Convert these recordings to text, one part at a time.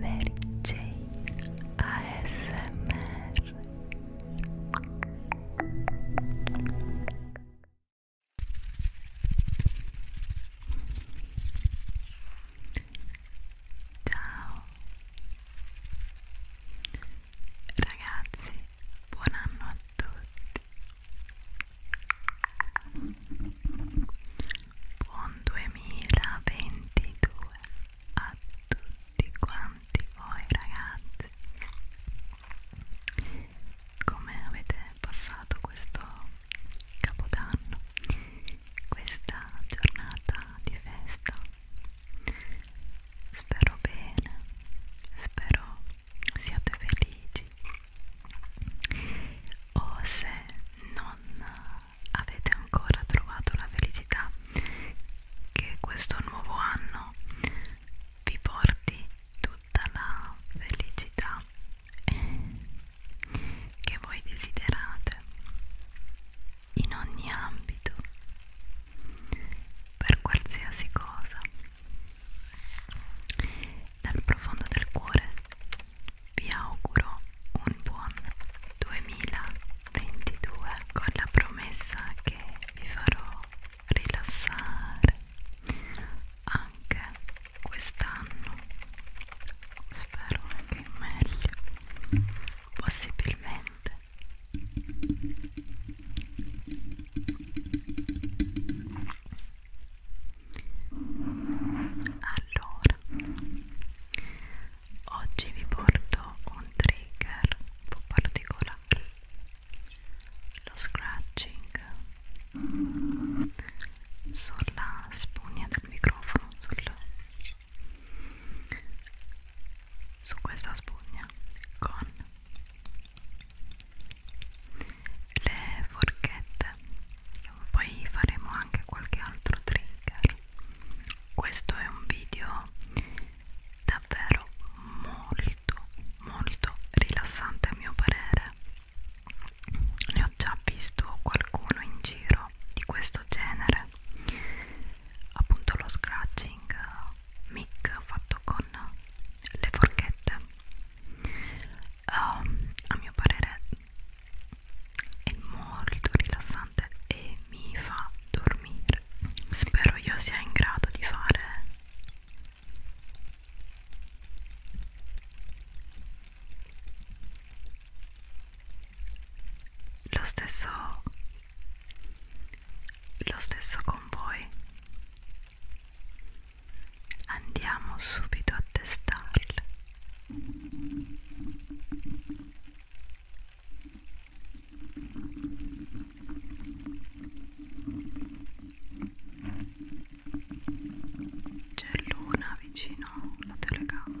Mary Jane ASMR Ciao ragazzi, buon anno a tutti Buon 2022 a tutti quanti voi ragazzi. Come avete passato questo capodanno? Questa giornata di festa? Spero bene, spero siate felici o se non avete ancora trovato la felicità che questo nuovo anno vi porti tutta la felicità che voi desiderate in ogni ambito per qualsiasi cosa dal profondo del cuore vi auguro un buon 2022 con la promessa che vi farò rilassare anche quest'anno spero anche meglio possibilmente allora oggi vi porto un trigger un po' particolare lo scratching sulla spugna del microfono sul, su questa spugna con le forchette poi faremo anche qualche altro trigger questo è un video davvero molto molto rilassante a mio parere ne ho già visto qualcuno in giro di questo genere appunto lo scratching mic fatto con le forchette um, a mio parere è molto rilassante e mi fa dormire spero io sia in grado di fare lo stesso lo stesso con voi Andiamo subito a testarle. C'è l'una vicino alla telecamera.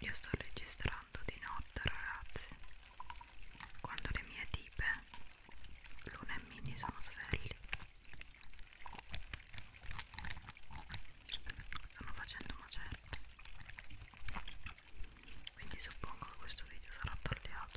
Io sto registrando di notte ragazzi, quando le mie tipe, Luna e Mini, sono svegli. Stanno facendo macette quindi suppongo che questo video sarà tagliato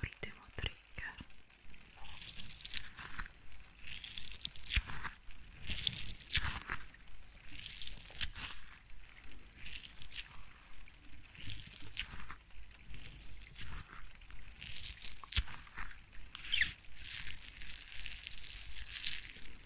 ultimo trigger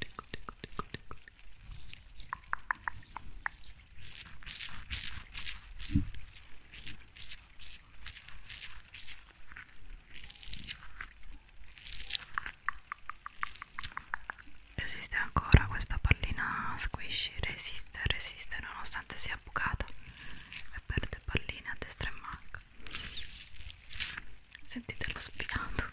ecco, ecco, ecco, ecco. Esiste ancora questa pallina squishy, resiste, resiste nonostante sia bucata e perde palline a destra e manca sentite lo spiato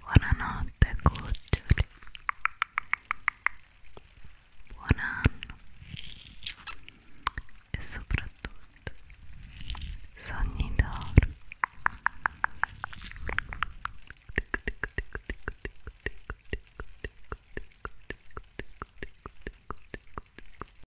Buonanotte cuccioli Buon anno e soprattutto sogni d'oro